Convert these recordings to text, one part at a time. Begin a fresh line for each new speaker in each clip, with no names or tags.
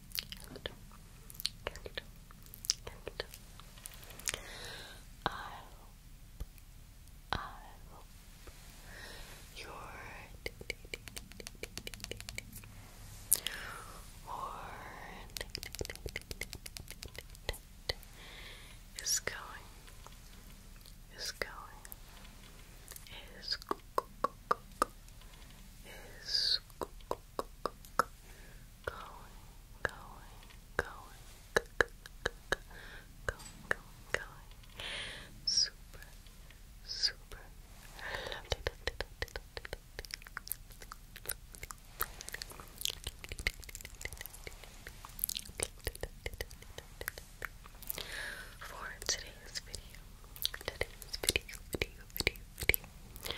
Can you I I your or is going, is going, is is going. Super, super lovely. For today's video, today's video, video, video, video, video,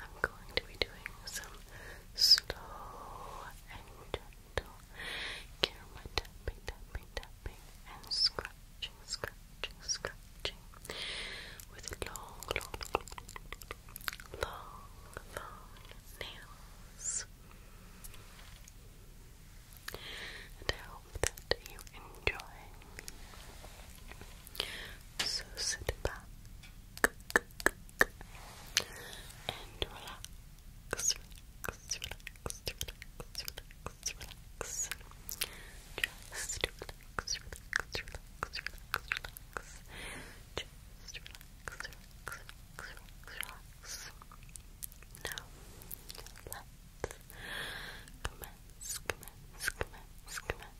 I'm going to be doing some slow and gentle camera tapping, tapping, tapping, and scratching, scratching, scratching with long, long, long, long, long nails. And I hope that you enjoy. So sit back, and relax, relax, relax, relax, relax, relax. Just relax, relax, relax, relax, relax. Just relax, relax, relax, relax, relax. Now, let's commence, commence, commence, commence.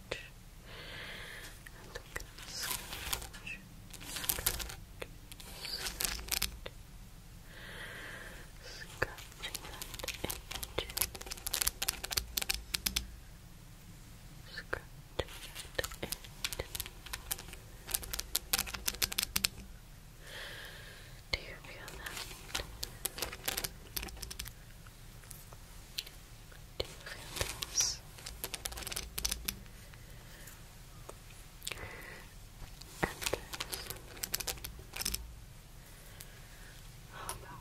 And I'm gonna that edge. Scratching Do you feel that? différence. And about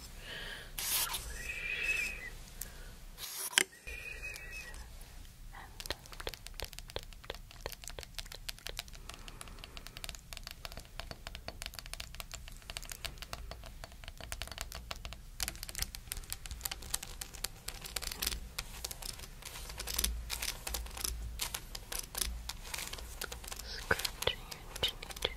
Scratching your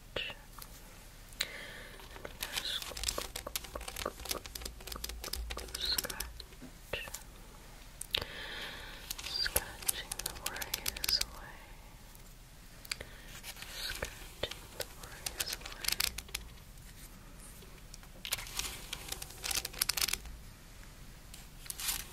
Scratch. Scratching the worries away. Scratching the worries away. Scratching the worries away.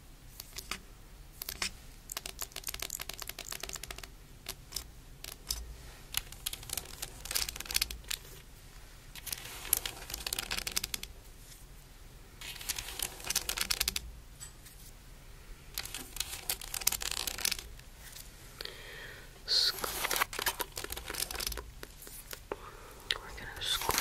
Scoop. We're gonna scoop.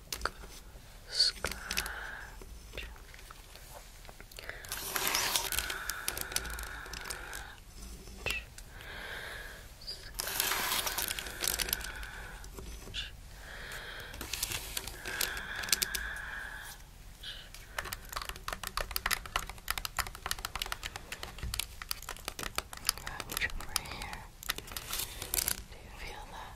scratch, scratch. Scratch. Scratch over here. Do you feel that?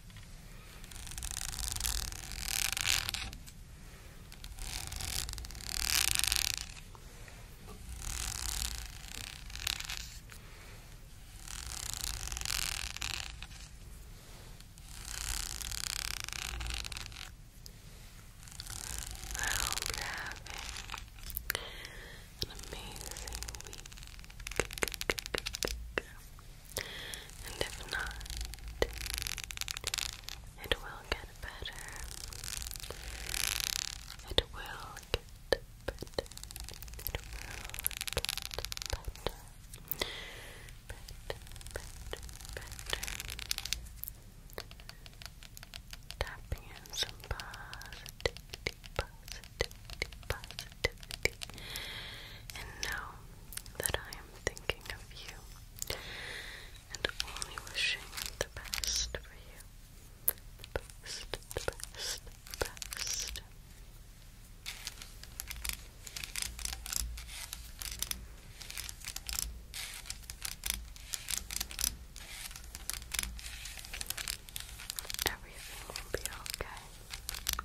I hope you an amazing week. And if not, it will get better. It will get better. It will get better. Better, better, better. Tapping in some positivity, negativity and know that I am thinking of you and only wishing the best for you. The best, the best, the best. Everything will be okay.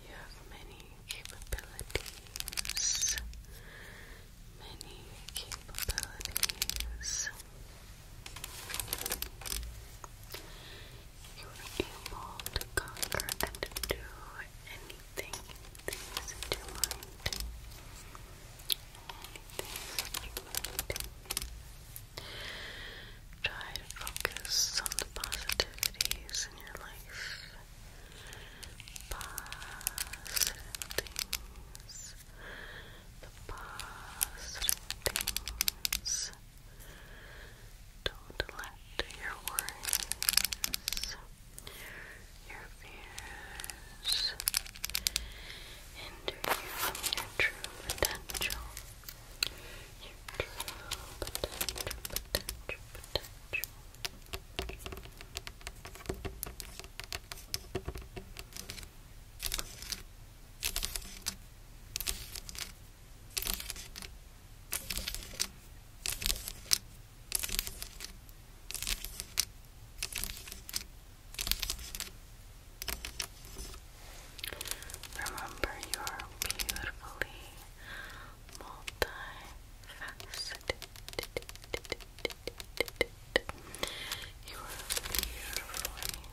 You have many capabilities, many capabilities you were able to conquer and do anything that's in your Anything Try to focus on the positivities in your life. Positive things. The positive things don't let your worries, your fears, hinder you from your true potential. Your true potential, Remember, you are beautifully multifaceted. You are beautifully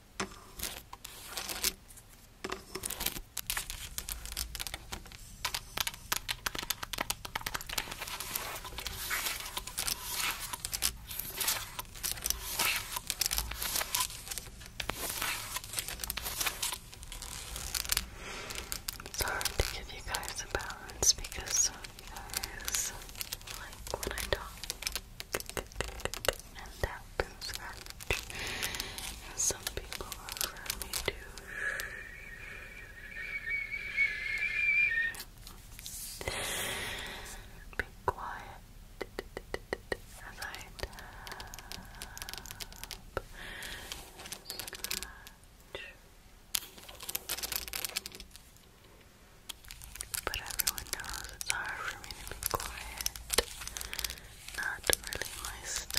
It's hard to give you guys a balance because some guys like when I talk. and tap and scratch. some people offer me to be quiet as I tap. Scratch. But everyone knows it's hard for me to be quiet. Not really my style.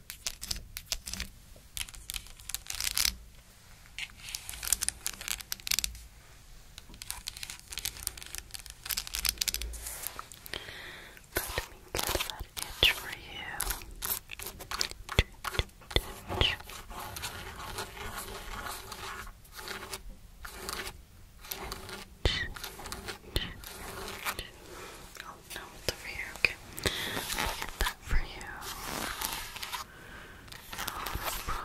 Let me get that itch for you. Itch, itch, itch no, it's over here. Okay. I'll get that for you. No problem.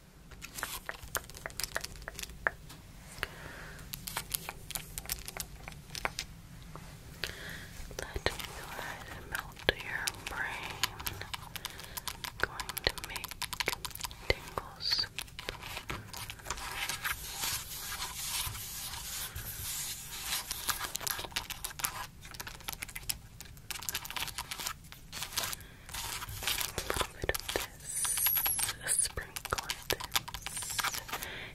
Let me go ahead and melt your brain. Going to make tingles a little bit of this, a sprinkle of this,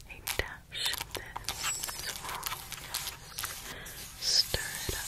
a dash of this. Stir it up,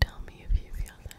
Tell me if you feel that.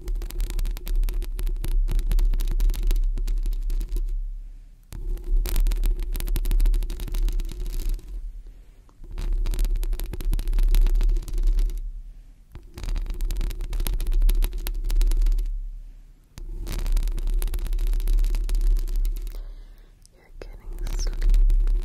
You're getting sleepy, sleepy, sleepy.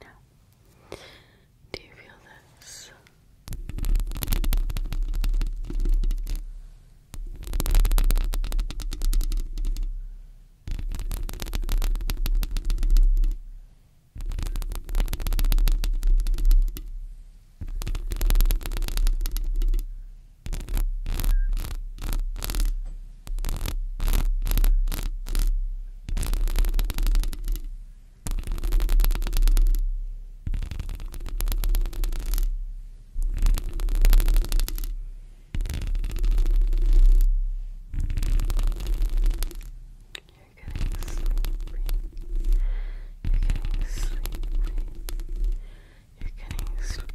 Now, do you feel this? You're getting sleepy. You're getting sleepy.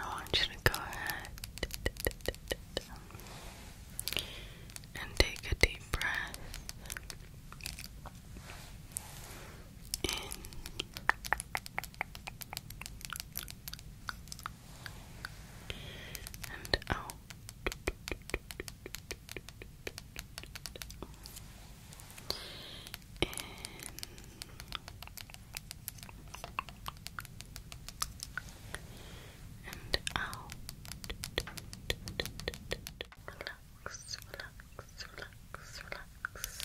I want you to go ahead and take a deep breath in and out. In. And out. Relax, relax, relax, relax.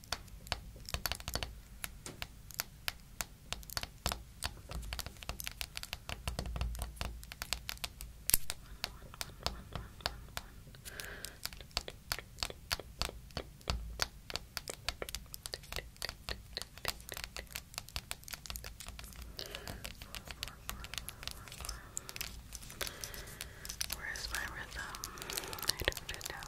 Where is my rhythm? I don't know.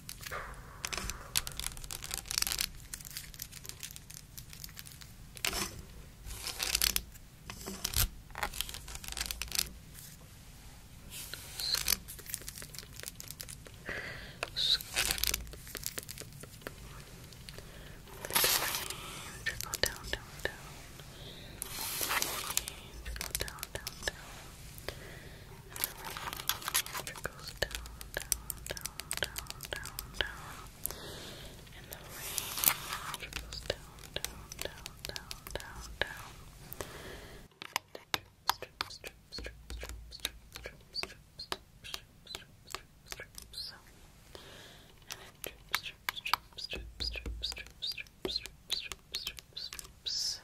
Trickle down, down, down. Trickle down, down, down. It goes down, down, down, down, down, down. And the range goes down, down, down, down, down, down. Strip, strip, strip, strip, strip, strip, strip, strip, strip, strip, strip, strip, so. And it strips, strips, strips, strips, strips, strips, strips, strips, strips, strips, strips.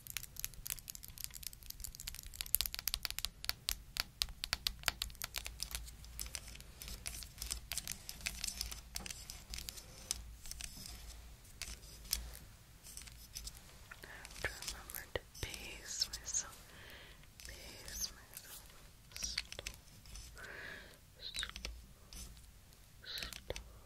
have to remember to pace myself, pace myself, slow, slow, slow.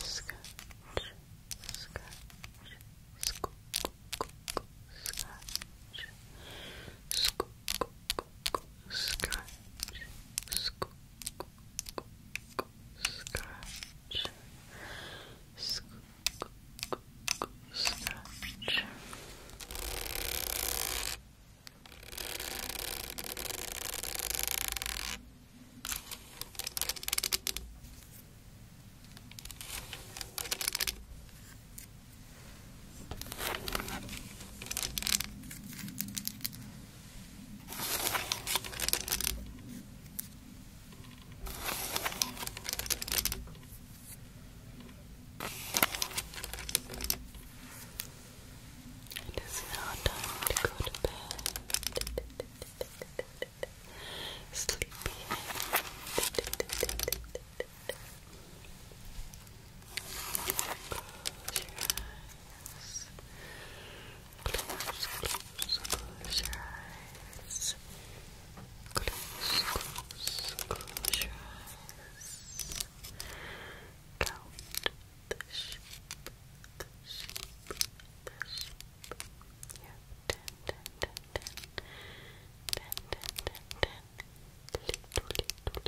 Scratch, scratch, scoop, scratch, scoop, scratch, scoop, scratch, scoop, scratch. Scratch, it is now time to go to bed. Sleepy Close your eyes. Close, close, close your eyes. Close, close, close your eyes. Count the sheep, the sheep, You Little, little, little, little,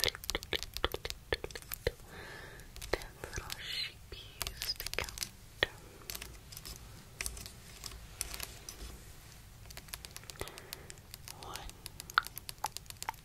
little, little, little, ten little sheepies to count. One,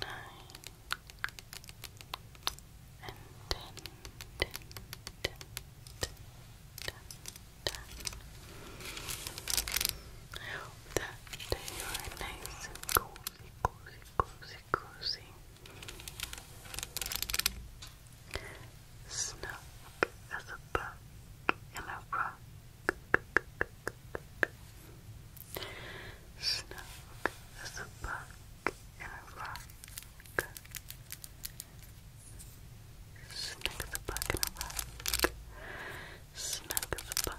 nine, and ten, ten, ten, ten, ten, ten. I hope you are nice and cozy, cozy, cozy, cozy. Snug as a bug in a rock snug as a bug in a rock. Snug as a bug in a rock. Snug as a bug in a rock.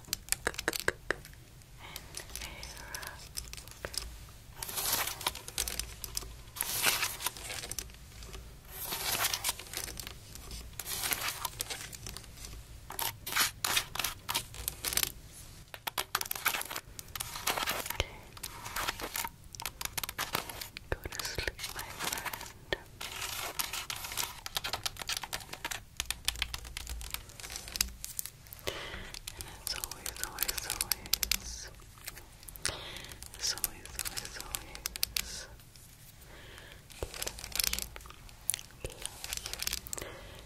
Go to sleep, my friend. And it's always, always, always, always, always, you.